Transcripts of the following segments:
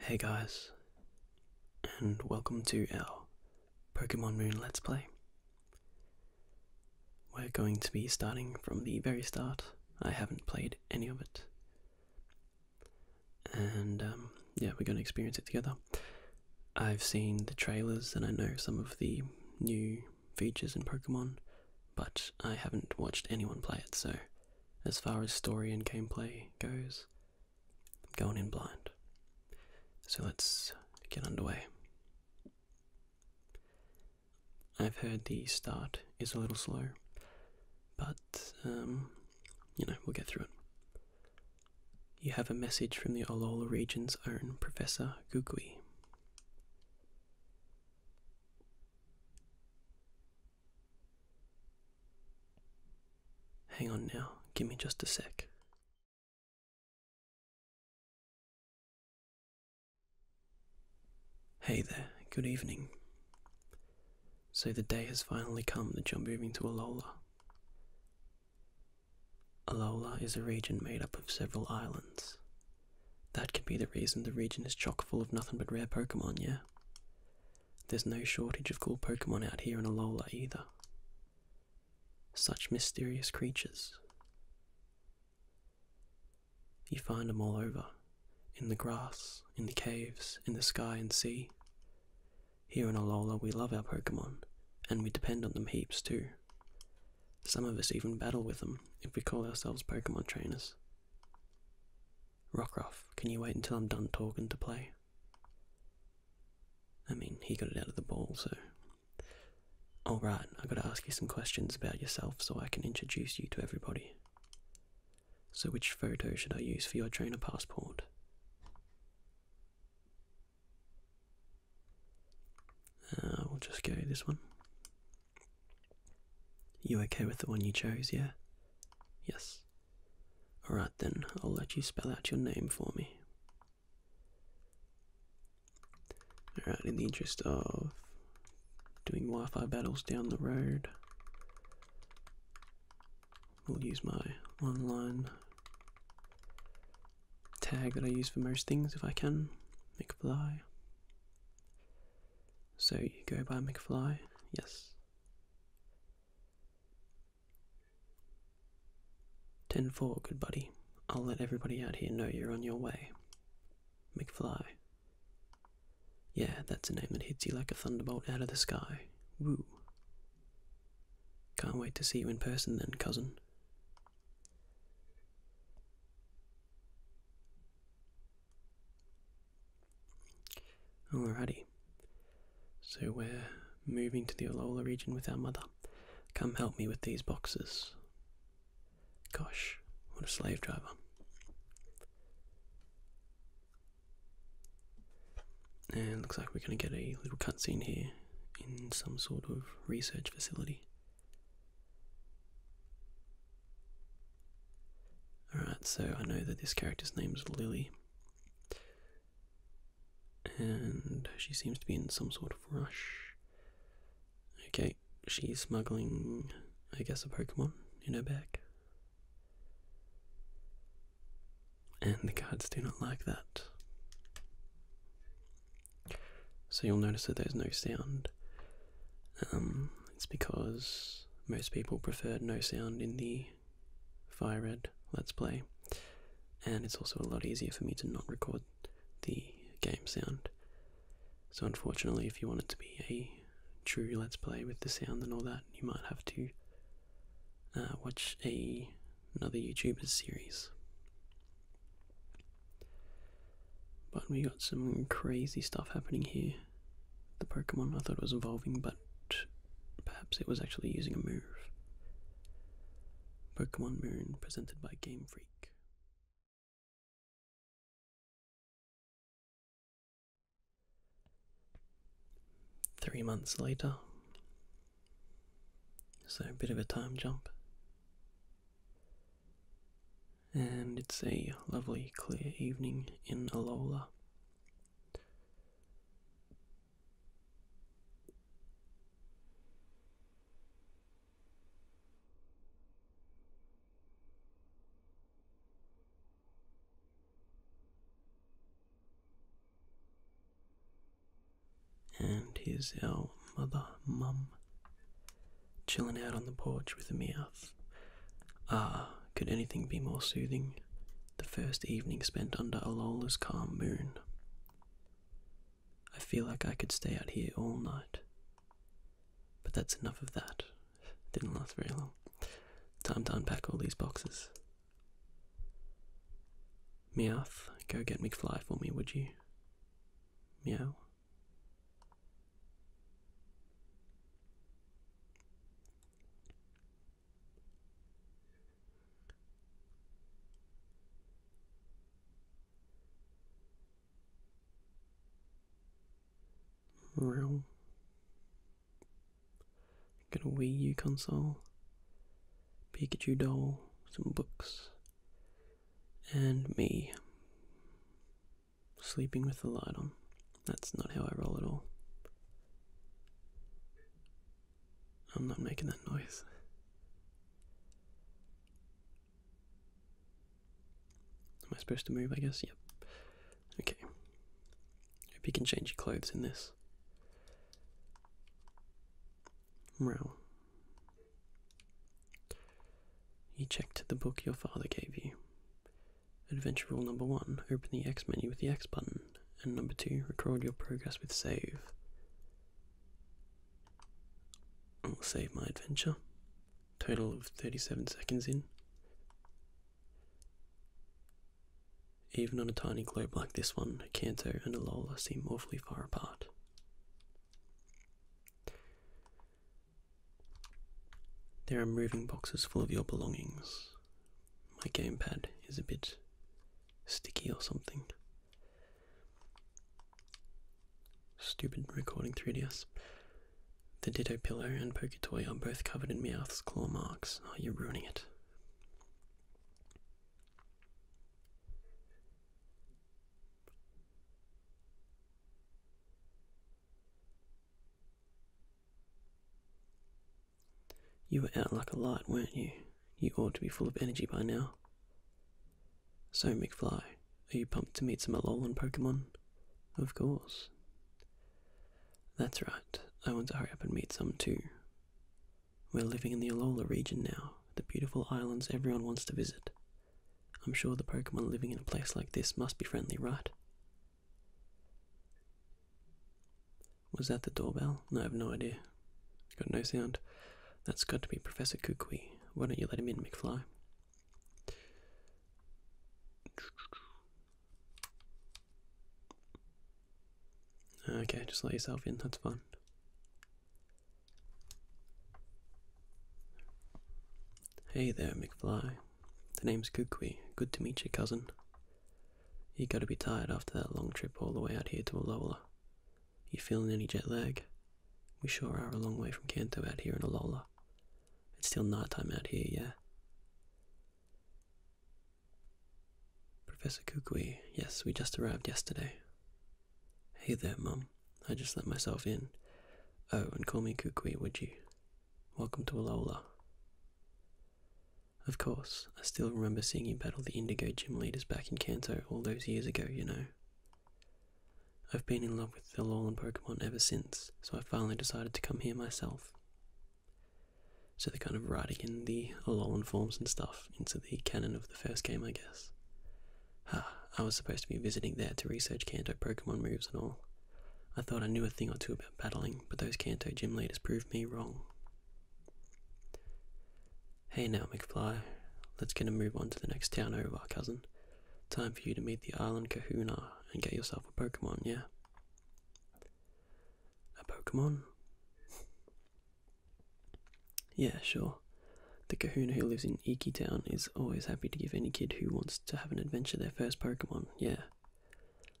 Hey guys, and welcome to our Pokemon Moon Let's Play. We're going to be starting from the very start. I haven't played any of it and um, yeah, we're going to experience it together. I've seen the trailers and I know some of the new features in Pokemon, but I haven't watched anyone play it, so as far as story and gameplay goes, I'm going in blind. So let's get underway. I've heard the start is a little slow, but um, you know, we'll get through it. You have a message from the Olola region's own Professor Gugui. Hang on now, give me just a sec. Hey there, good evening. So the day has finally come that you're moving to Alola. Alola is a region made up of several islands. That could be the reason the region is chock full of nothing but rare Pokemon, yeah? There's no shortage of cool Pokemon out here in Alola either. Such mysterious creatures. You find them all over, in the grass, in the caves, in the sky and sea. Here in Alola, we love our Pokemon, and we depend on them heaps too. Some of us even battle with them if we call ourselves Pokemon trainers. Rockruff, can you wait until I'm done talking to play? I mean, he got it out of the ball, so. Alright, I I've gotta ask you some questions about yourself so I can introduce you to everybody. So, which photo should I use for your trainer passport? Uh, we'll just go this one. You okay with the one you chose, yeah? Yes. Alright then, I'll let you spell out your name for me. Alright, in the interest of doing Wi Fi battles down the road, We'll use my online tag that I use for most things if I can. McFly. So you go by McFly, yes. Ten four, good buddy. I'll let everybody out here know you're on your way. McFly, yeah, that's a name that hits you like a thunderbolt out of the sky. Woo. Can't wait to see you in person then, cousin. Alrighty. So we're moving to the Olola region with our mother. Come help me with these boxes. Gosh, what a slave driver. And looks like we're going to get a little cutscene here in some sort of research facility. Alright, so I know that this character's name is Lily. And she seems to be in some sort of rush. Okay, she's smuggling, I guess, a Pokemon in her bag. And the cards do not like that. So you'll notice that there's no sound. Um, it's because most people preferred no sound in the Fire Red Let's Play, and it's also a lot easier for me to not record the game sound. So, unfortunately, if you want it to be a true let's play with the sound and all that, you might have to uh, watch a another YouTuber's series. But we got some crazy stuff happening here. The Pokemon I thought was evolving, but perhaps it was actually using a move. Pokemon Moon presented by Game Freak. Three months later, so a bit of a time jump. And it's a lovely clear evening in Alola. And here's our mother, mum, chilling out on the porch with a meowth. Ah, could anything be more soothing? The first evening spent under Alola's calm moon. I feel like I could stay out here all night. But that's enough of that. Didn't last very long. Time to unpack all these boxes. Meow. go get McFly for me, would you? Meow. Real. Got a Wii U console, Pikachu doll, some books, and me. Sleeping with the light on. That's not how I roll at all. I'm not making that noise. Am I supposed to move, I guess? Yep. Okay. Hope you can change your clothes in this. Wow. You checked the book your father gave you. Adventure rule number one open the X menu with the X button, and number two record your progress with save. I'll save my adventure. Total of 37 seconds in. Even on a tiny globe like this one, Kanto and Alola seem awfully far apart. There are moving boxes full of your belongings. My gamepad is a bit sticky or something. Stupid recording 3DS. The Ditto pillow and poker toy are both covered in Meowth's claw marks. Are oh, you ruining it? You were out like a light, weren't you? You ought to be full of energy by now. So, McFly, are you pumped to meet some Alolan Pokemon? Of course. That's right, I want to hurry up and meet some too. We're living in the Alola region now, the beautiful islands everyone wants to visit. I'm sure the Pokemon living in a place like this must be friendly, right? Was that the doorbell? I have no idea. Got no sound. That's got to be Professor Kukui. Why don't you let him in, McFly? Okay, just let yourself in, that's fine. Hey there, McFly. The name's Kukui. Good to meet you, cousin. You gotta be tired after that long trip all the way out here to Alola. You feeling any jet lag? We sure are a long way from Kanto out here in Alola. It's still nighttime out here, yeah. Professor Kukui, yes, we just arrived yesterday. Hey there, Mum. I just let myself in. Oh, and call me Kukui, would you? Welcome to Alola. Of course, I still remember seeing you battle the Indigo gym leaders back in Kanto all those years ago, you know. I've been in love with the Alolan Pokemon ever since, so I finally decided to come here myself. So they're kind of writing in the Alolan forms and stuff into the canon of the first game, I guess. Ah, I was supposed to be visiting there to research Kanto Pokemon moves and all. I thought I knew a thing or two about battling, but those Kanto gym leaders proved me wrong. Hey now, McFly. Let's get a move on to the next town over, cousin. Time for you to meet the island kahuna and get yourself a Pokemon, yeah? A Pokemon? yeah, sure. The kahuna who lives in Iki Town is always happy to give any kid who wants to have an adventure their first Pokemon, yeah.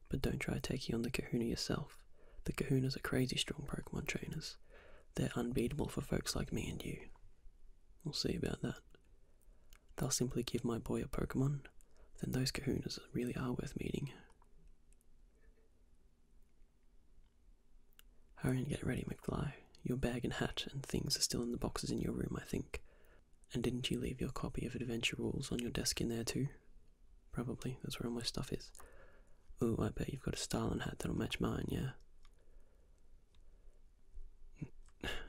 But don't try taking on the kahuna yourself. The kahunas are crazy strong Pokemon trainers. They're unbeatable for folks like me and you. We'll see about that. They'll simply give my boy a Pokemon, then those kahunas really are worth meeting. Hurry and get ready, McFly. Your bag and hat and things are still in the boxes in your room, I think. And didn't you leave your copy of Adventure Rules on your desk in there too? Probably, that's where all my stuff is. Oh, I bet you've got a Starlin hat that'll match mine, yeah?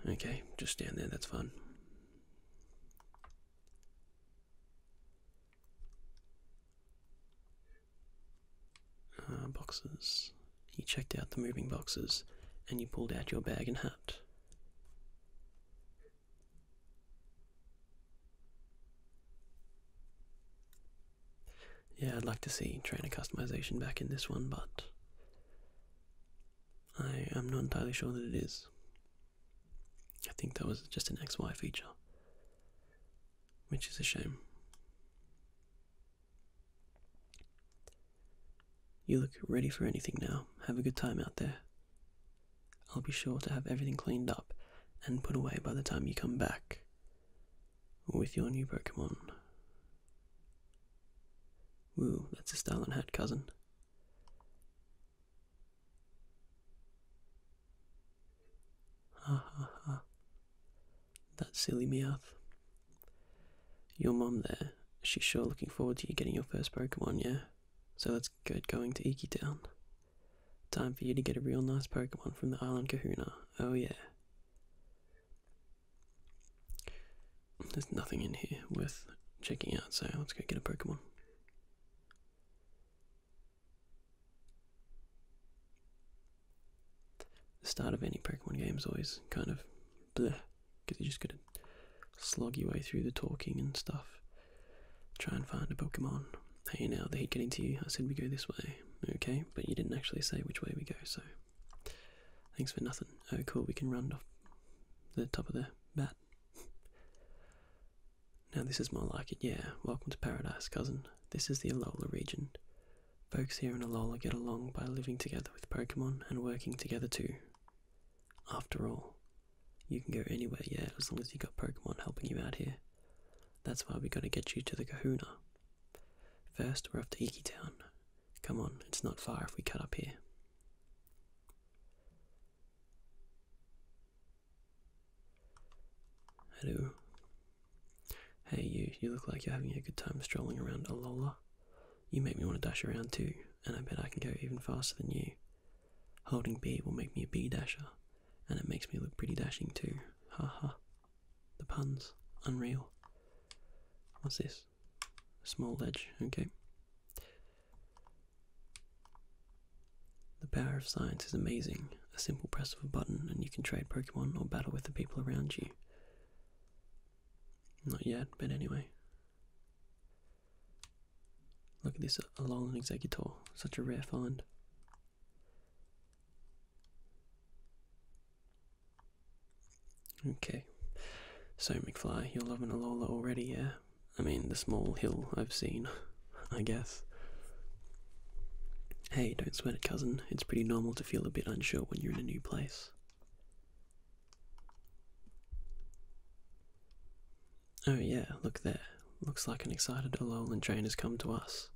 okay, just stand there, that's fun. Uh, boxes. You checked out the moving boxes and you pulled out your bag and hat. Yeah, I'd like to see trainer customization back in this one, but I am not entirely sure that it is. I think that was just an XY feature, which is a shame. You look ready for anything now. Have a good time out there. I'll be sure to have everything cleaned up and put away by the time you come back with your new Pokemon. Woo, that's a Stalin hat, cousin. Ha That silly Meowth. Your mum there, she's sure looking forward to you getting your first Pokemon, yeah? So that's good. going to Iki Town. Time for you to get a real nice Pokemon from the island Kahuna. Oh yeah. There's nothing in here worth checking out, so let's go get a Pokemon. The start of any Pokemon game is always kind of bleh, because you just gotta slog your way through the talking and stuff. Try and find a Pokemon. Hey now, the heat getting to you. I said we go this way. Okay, but you didn't actually say which way we go, so. Thanks for nothing. Oh, cool, we can run off the top of there. But now, this is more like it, yeah. Welcome to paradise, cousin. This is the Alola region. Folks here in Alola get along by living together with Pokemon and working together too. After all, you can go anywhere, yeah, as long as you got Pokemon helping you out here. That's why we are going to get you to the Kahuna. First, we're off to Iki Town. Come on, it's not far if we cut up here. Hello. Hey you, you look like you're having a good time strolling around Alola. You make me want to dash around too, and I bet I can go even faster than you. Holding B will make me a B dasher, and it makes me look pretty dashing too. Ha ha. The puns, unreal. What's this? small ledge. okay. The power of science is amazing. A simple press of a button and you can trade Pokemon or battle with the people around you. Not yet, but anyway. Look at this a Alolan Executor, such a rare find. Okay. So, McFly, you're loving Alola already, yeah? I mean, the small hill I've seen, I guess. Hey, don't sweat it, cousin. It's pretty normal to feel a bit unsure when you're in a new place. Oh, yeah, look there. Looks like an excited Alolan train has come to us.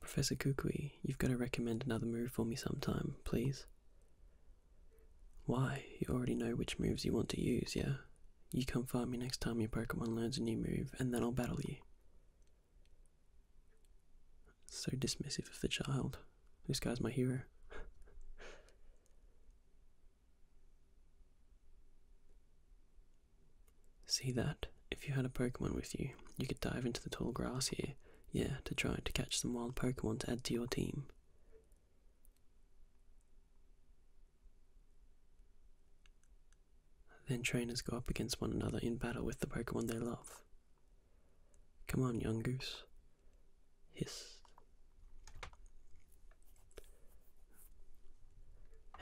Professor Kukui, you've got to recommend another move for me sometime, please. Why? You already know which moves you want to use, yeah? You come find me next time your Pokemon learns a new move, and then I'll battle you. So dismissive of the child. This guy's my hero. See that? If you had a Pokemon with you, you could dive into the tall grass here, yeah, to try to catch some wild Pokemon to add to your team. Then trainers go up against one another in battle with the Pokemon they love. Come on, young goose. Hiss.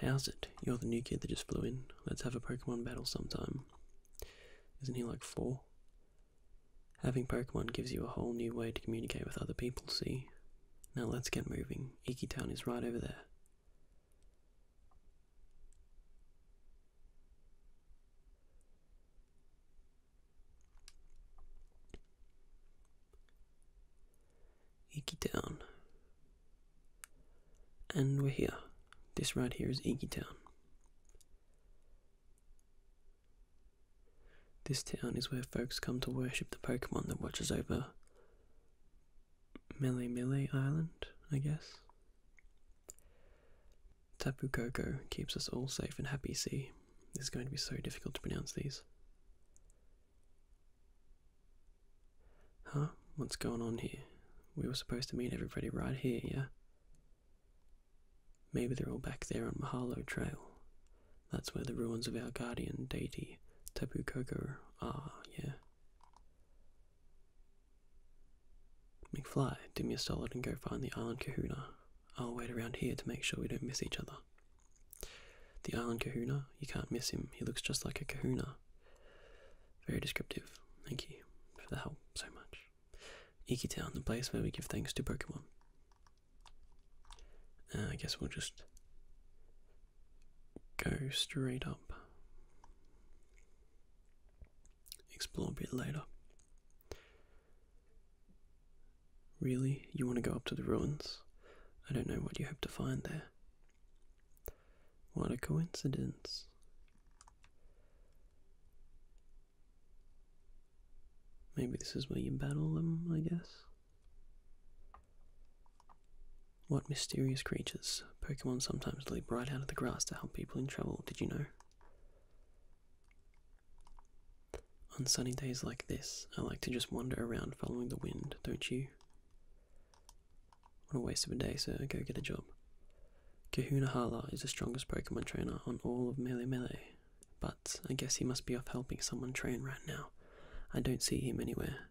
How's it? You're the new kid that just flew in. Let's have a Pokemon battle sometime. Isn't he like four? Having Pokemon gives you a whole new way to communicate with other people, see? Now let's get moving. Iki Town is right over there. Iki Town. And we're here. This right here is Iki Town. This town is where folks come to worship the Pokemon that watches over Mele Island, I guess. Tapu Koko keeps us all safe and happy, see. This is going to be so difficult to pronounce these. Huh? What's going on here? We were supposed to meet everybody right here, yeah? Maybe they're all back there on Mahalo Trail. That's where the ruins of our guardian deity, Tapu Koko, are, yeah. McFly, do me a solid and go find the island kahuna. I'll wait around here to make sure we don't miss each other. The island kahuna, you can't miss him. He looks just like a kahuna. Very descriptive. Thank you for the help so much. Iki Town, the place where we give thanks to Pokemon. Uh, I guess we'll just go straight up. Explore a bit later. Really? You want to go up to the ruins? I don't know what you hope to find there. What a coincidence. Maybe this is where you battle them, I guess. What mysterious creatures? Pokemon sometimes leap right out of the grass to help people in trouble, did you know? On sunny days like this, I like to just wander around following the wind, don't you? What a waste of a day, sir. Go get a job. Kahuna Hala is the strongest Pokemon trainer on all of Melee Melee but I guess he must be off helping someone train right now. I don't see him anywhere.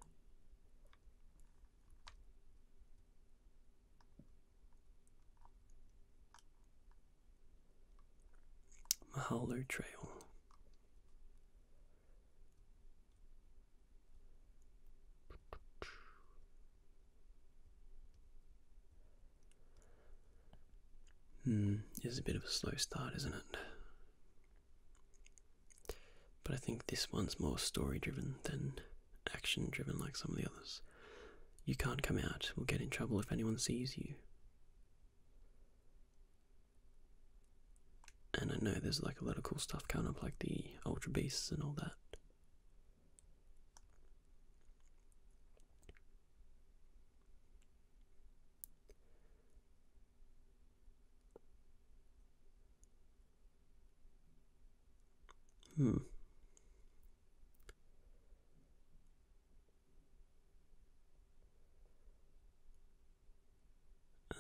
Mahalo Trail. Hmm, it is a bit of a slow start, isn't it? But I think this one's more story driven than action driven like some of the others. You can't come out, we'll get in trouble if anyone sees you. And I know there's like a lot of cool stuff coming up, like the Ultra Beasts and all that. Hmm.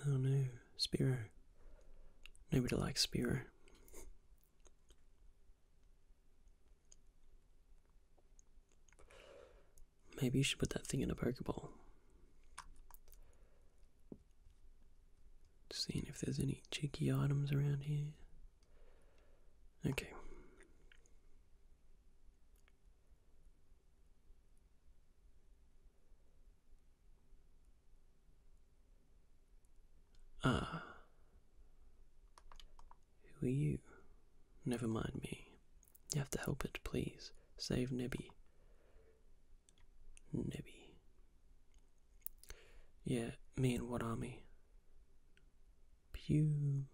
Oh no, Spiro. Nobody likes Spiro. Maybe you should put that thing in a Pokeball. Seeing if there's any cheeky items around here. Okay. Ah. Who are you? Never mind me. You have to help it, please. Save Nibby. Nibby. Yeah, me and what army? Pew.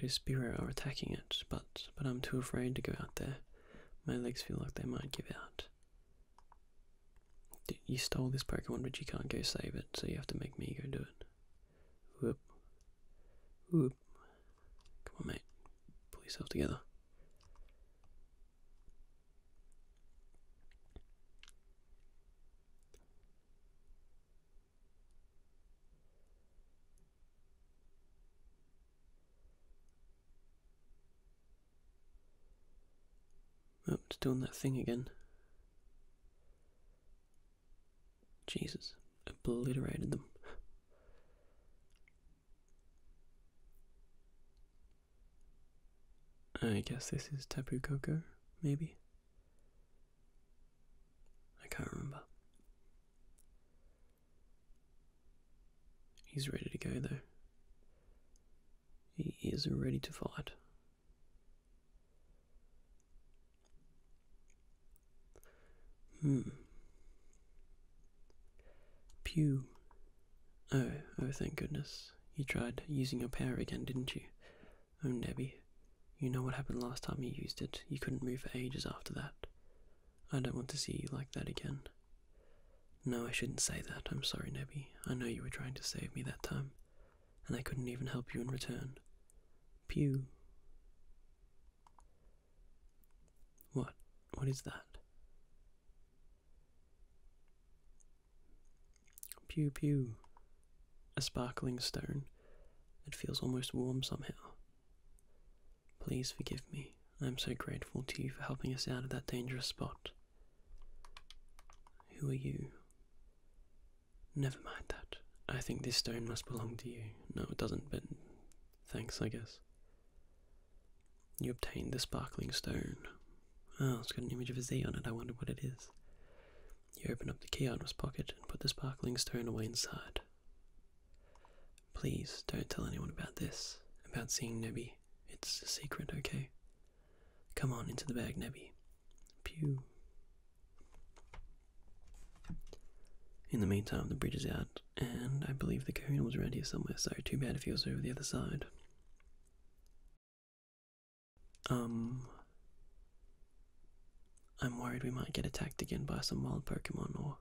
Those Spiro are attacking it, but but I'm too afraid to go out there. My legs feel like they might give out. You stole this Pokemon, but you can't go save it, so you have to make me go do it. Whoop. Whoop. Come on, mate. Pull yourself together. Oh, it's doing that thing again. Jesus, obliterated them. I guess this is Tapu Koko, maybe? I can't remember. He's ready to go though. He is ready to fight. Hmm. Pew. Oh, oh, thank goodness. You tried using your power again, didn't you? Oh, Nebby. You know what happened last time you used it. You couldn't move for ages after that. I don't want to see you like that again. No, I shouldn't say that. I'm sorry, Nebby. I know you were trying to save me that time and I couldn't even help you in return. Pew. What? What is that? Pew pew. A sparkling stone. It feels almost warm somehow. Please forgive me. I am so grateful to you for helping us out of that dangerous spot. Who are you? Never mind that. I think this stone must belong to you. No, it doesn't, but thanks, I guess. You obtained the sparkling stone. Oh, it's got an image of a Z on it. I wonder what it is. He opened up the key out of his pocket and put the sparkling stone away inside. Please don't tell anyone about this, about seeing Nebby. It's a secret, okay? Come on into the bag, Nebby. Pew. In the meantime, the bridge is out, and I believe the coon was around here somewhere, so too bad if he was over the other side. Um. I'm worried we might get attacked again by some wild Pokemon or.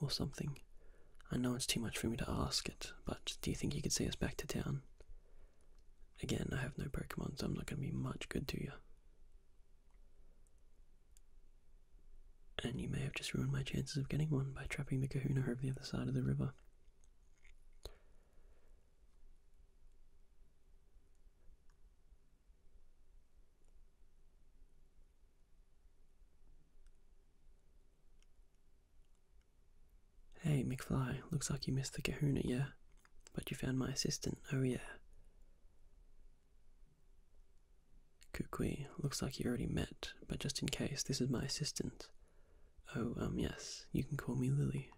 or something. I know it's too much for me to ask it, but do you think you could see us back to town? Again, I have no Pokemon, so I'm not going to be much good to you. And you may have just ruined my chances of getting one by trapping the kahuna over the other side of the river. Hey, McFly, looks like you missed the kahuna, yeah? But you found my assistant, oh yeah. Kukui, looks like you already met, but just in case, this is my assistant. Oh, um, yes, you can call me Lily.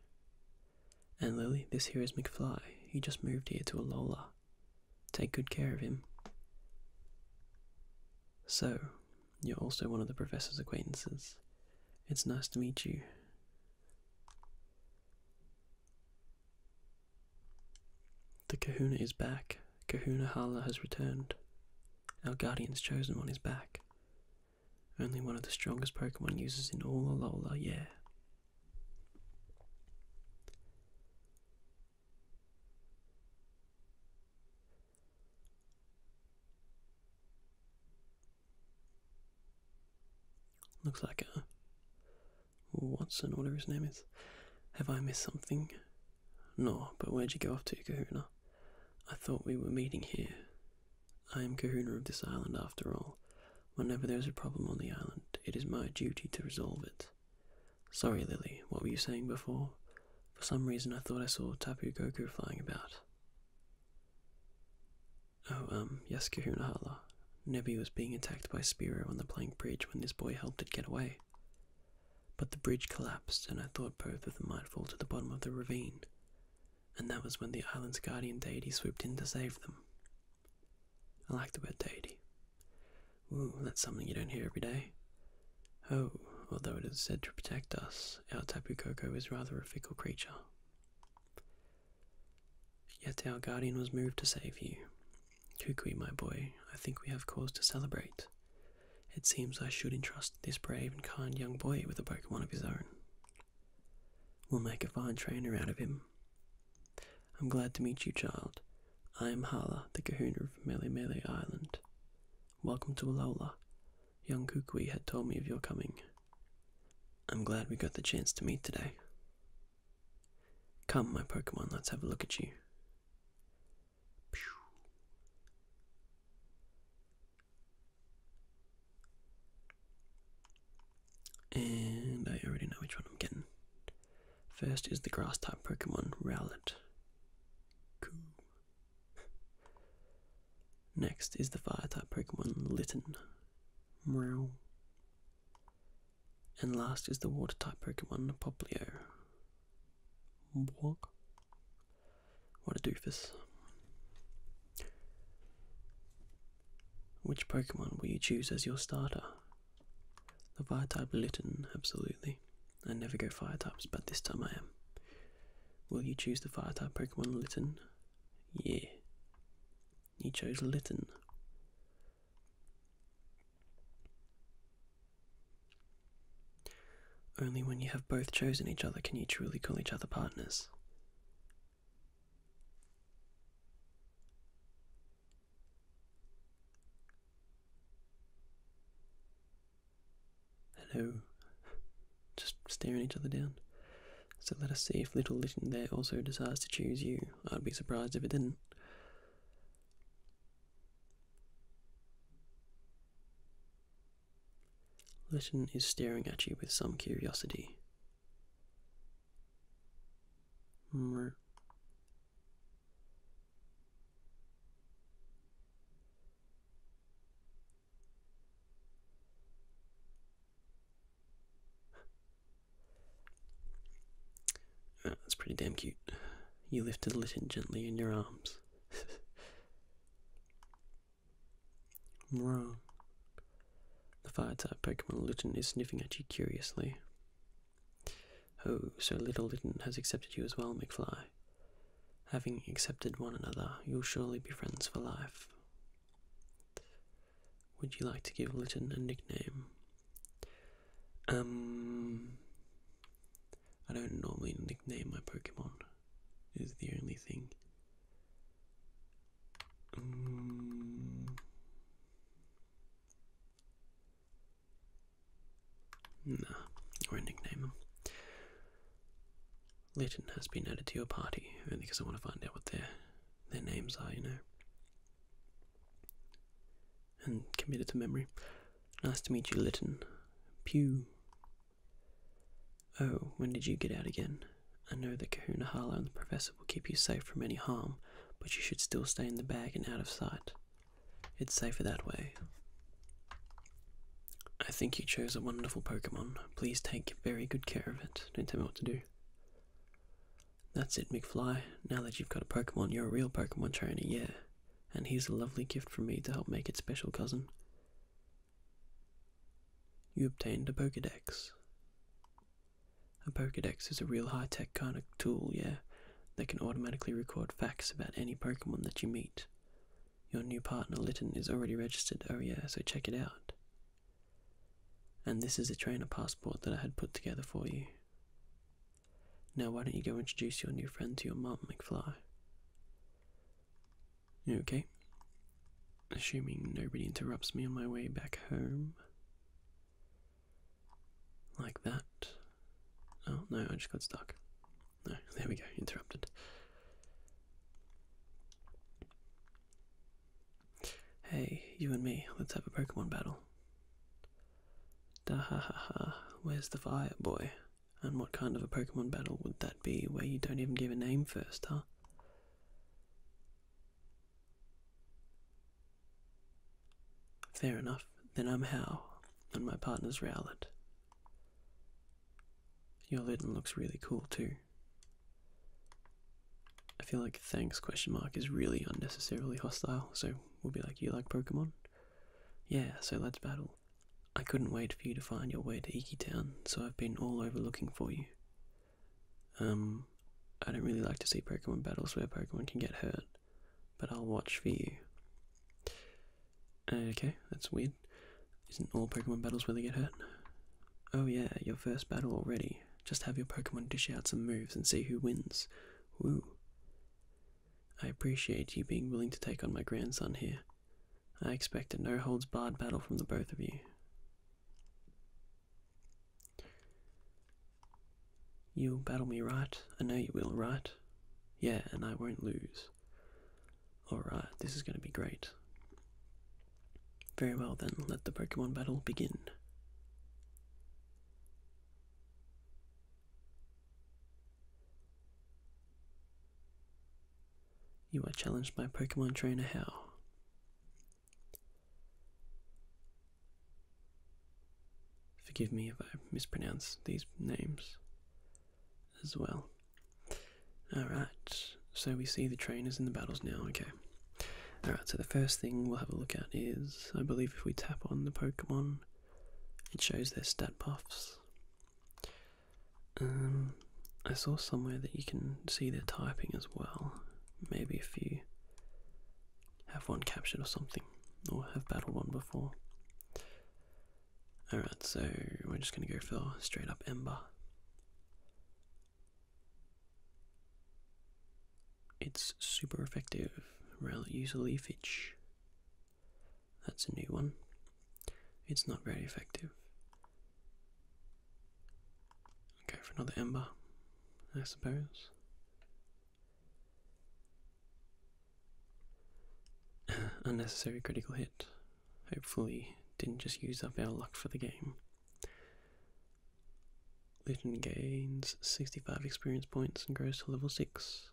And Lily, this here is McFly. He just moved here to Alola. Take good care of him. So, you're also one of the professor's acquaintances. It's nice to meet you. The kahuna is back. Kahuna Hala has returned. Our guardian's chosen one is back. Only one of the strongest Pokemon users in all Alola, yeah. Looks like a uh, Watson, whatever his name is. Have I missed something? No, but where'd you go off to, Kahuna? I thought we were meeting here. I am Kahuna of this island after all. Whenever there is a problem on the island, it is my duty to resolve it. Sorry, Lily, what were you saying before? For some reason I thought I saw Tapu Goku flying about. Oh, um, yes, Kahuna Hala. Nebi was being attacked by Spiro on the plank bridge when this boy helped it get away. But the bridge collapsed, and I thought both of them might fall to the bottom of the ravine. And that was when the island's guardian deity swooped in to save them. I like the word deity. Ooh, that's something you don't hear every day. Oh, although it is said to protect us, our Tapu Koko is rather a fickle creature, Yet our guardian was moved to save you. Kukui, my boy, I think we have cause to celebrate. It seems I should entrust this brave and kind young boy with a Pokemon of his own. We'll make a fine trainer out of him. I'm glad to meet you, child. I am Hala, the kahuna of Mele Island. Welcome to Alola, Young Kukui had told me of your coming. I'm glad we got the chance to meet today. Come, my Pokemon, let's have a look at you. And I already know which one I'm getting. First is the grass type Pokemon, Rowlet. Cool. Next is the fire type Pokemon Litton, Meow. And last is the water type Pokemon Poplio. Walk. What a doofus. Which Pokemon will you choose as your starter? The fire type Litton, absolutely. I never go fire types, but this time I am. Will you choose the fire type Pokemon Litton? Yeah. You chose Lytton. Only when you have both chosen each other can you truly call each other partners. Hello. Just staring each other down. So let us see if Little Litten there also decides to choose you. I'd be surprised if it didn't. Litten is staring at you with some curiosity. Oh, that's pretty damn cute. You lifted Litten gently in your arms. Wrong. The fire type Pokemon Litten is sniffing at you curiously. Oh, so little Litten has accepted you as well, McFly. Having accepted one another, you'll surely be friends for life. Would you like to give Lytton a nickname? Um, I don't normally nickname my Pokemon, is the only thing. Um, nah, or a nickname legend has been added to your party, only because I want to find out what their their names are, you know. And commit it to memory. Nice to meet you, Lytton. Pew. Oh, when did you get out again? I know that Kahuna Harlow and the Professor will keep you safe from any harm, but you should still stay in the bag and out of sight. It's safer that way. I think you chose a wonderful Pokemon. Please take very good care of it. Don't tell me what to do. That's it, McFly. Now that you've got a Pokemon, you're a real Pokemon trainer, yeah. And here's a lovely gift from me to help make it special, cousin. You obtained a Pokedex. A Pokedex is a real high tech kind of tool, yeah, that can automatically record facts about any Pokemon that you meet. Your new partner, Lytton, is already registered. Oh, yeah, so check it out. And this is a trainer passport that I had put together for you. Now, why don't you go introduce your new friend to your mum, McFly? okay? Assuming nobody interrupts me on my way back home. Like that. Oh no, I just got stuck. No, there we go, interrupted. Hey, you and me, let's have a Pokemon battle. Da ha ha ha, where's the fire, boy? And what kind of a Pokemon battle would that be where you don't even give a name first, huh? Fair enough, then I'm How, and my partner's Rowlet. Your Litten looks really cool too. I feel like thanks question mark is really unnecessarily hostile, so we'll be like, you like Pokemon? Yeah, so let's battle. I couldn't wait for you to find your way to Iki Town, so I've been all over looking for you. Um, I don't really like to see Pokemon battles where Pokemon can get hurt, but I'll watch for you. Okay, that's weird. Isn't all Pokemon battles where they get hurt? Oh yeah, your first battle already. Just have your Pokemon dish out some moves and see who wins. Woo. I appreciate you being willing to take on my grandson here. I expect a no holds barred battle from the both of you. You'll battle me right, I know you will, right? Yeah, and I won't lose. Alright, this is going to be great. Very well then, let the Pokemon battle begin. You are challenged by Pokemon Trainer How. Forgive me if I mispronounce these names as well. Alright, so we see the trainers in the battles now, okay. Alright, so the first thing we'll have a look at is I believe if we tap on the Pokemon, it shows their stat buffs. Um, I saw somewhere that you can see their typing as well. Maybe if you have one captured or something, or have battled one before. Alright, so we're just going to go for straight up Ember. It's super effective. Rel use leafage. That's a new one. It's not very effective. Okay, for another Ember, I suppose. Unnecessary critical hit. Hopefully, didn't just use up our luck for the game. Litten gains 65 experience points and grows to level 6.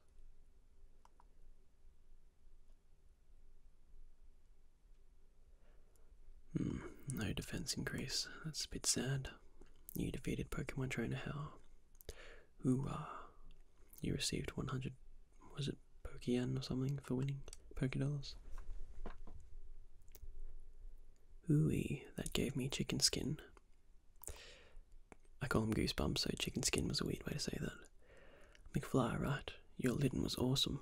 Hmm, no defense increase. That's a bit sad. You defeated Pokemon Trainer Hell. Ooh, You received 100 was it Pokeyen or something for winning Pokedollars? Ooey, that gave me chicken skin. I call them goosebumps, so chicken skin was a weird way to say that. McFly, right? Your Lydon was awesome.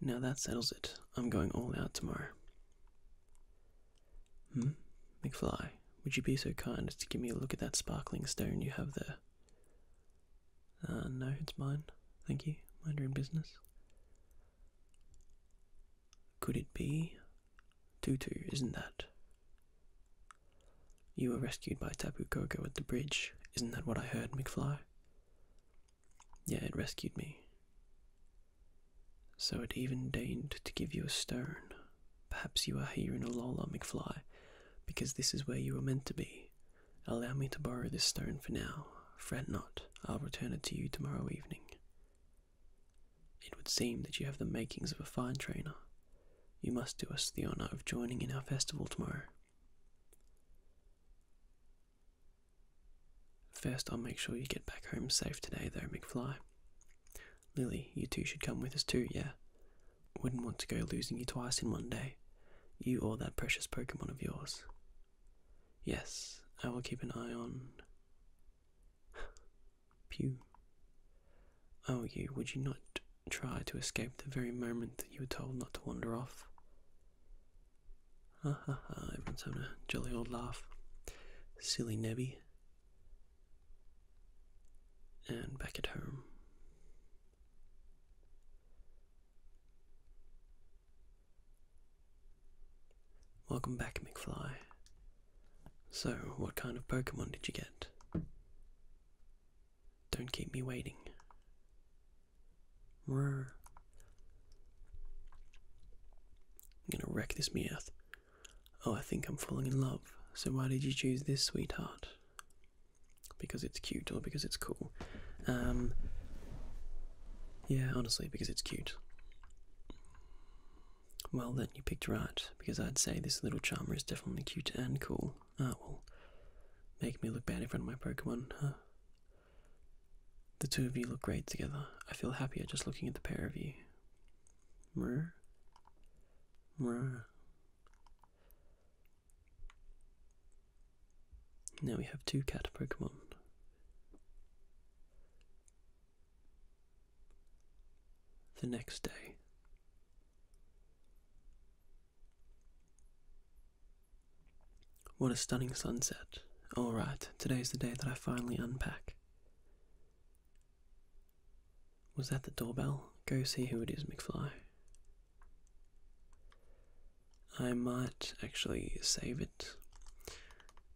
Now that settles it. I'm going all out tomorrow. Hmm? McFly, would you be so kind as to give me a look at that sparkling stone you have there? Uh, no, it's mine. Thank you. Mind your own business. Could it be? Tutu, isn't that? You were rescued by Tapu Koko at the bridge. Isn't that what I heard, McFly? Yeah, it rescued me. So it even deigned to give you a stone. Perhaps you are here in Alola, McFly, because this is where you were meant to be. Allow me to borrow this stone for now. Fret not, I'll return it to you tomorrow evening. It would seem that you have the makings of a fine trainer. You must do us the honour of joining in our festival tomorrow. First, I'll make sure you get back home safe today, though, McFly. Lily, you too should come with us too, yeah? Wouldn't want to go losing you twice in one day, you or that precious Pokemon of yours. Yes, I will keep an eye on. Pew. Oh, you, would you not try to escape the very moment that you were told not to wander off? Ha ha ha, everyone's having a jolly old laugh. Silly Nebby. And back at home. Welcome back, McFly. So, what kind of Pokemon did you get? Don't keep me waiting. Rrr. I'm gonna wreck this Meowth. Oh, I think I'm falling in love, so why did you choose this, sweetheart? because it's cute or because it's cool. Um, yeah, honestly, because it's cute. Well, then you picked right, because I'd say this little charmer is definitely cute and cool. Ah, well, make me look bad in front of my Pokemon, huh? The two of you look great together. I feel happier just looking at the pair of you. Mrr. Mrr. Now we have two cat Pokemon. The next day. What a stunning sunset. Alright, today's the day that I finally unpack. Was that the doorbell? Go see who it is, McFly. I might actually save it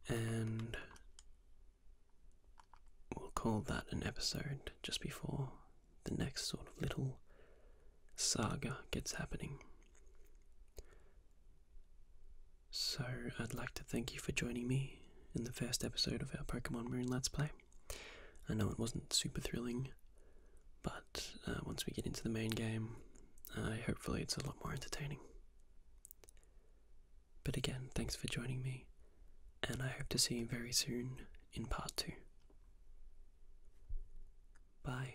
and we'll call that an episode just before the next sort of little saga gets happening. So, I'd like to thank you for joining me in the first episode of our Pokemon Moon Let's Play. I know it wasn't super thrilling, but uh, once we get into the main game, hopefully it's a lot more entertaining. But again, thanks for joining me, and I hope to see you very soon in part 2. Bye.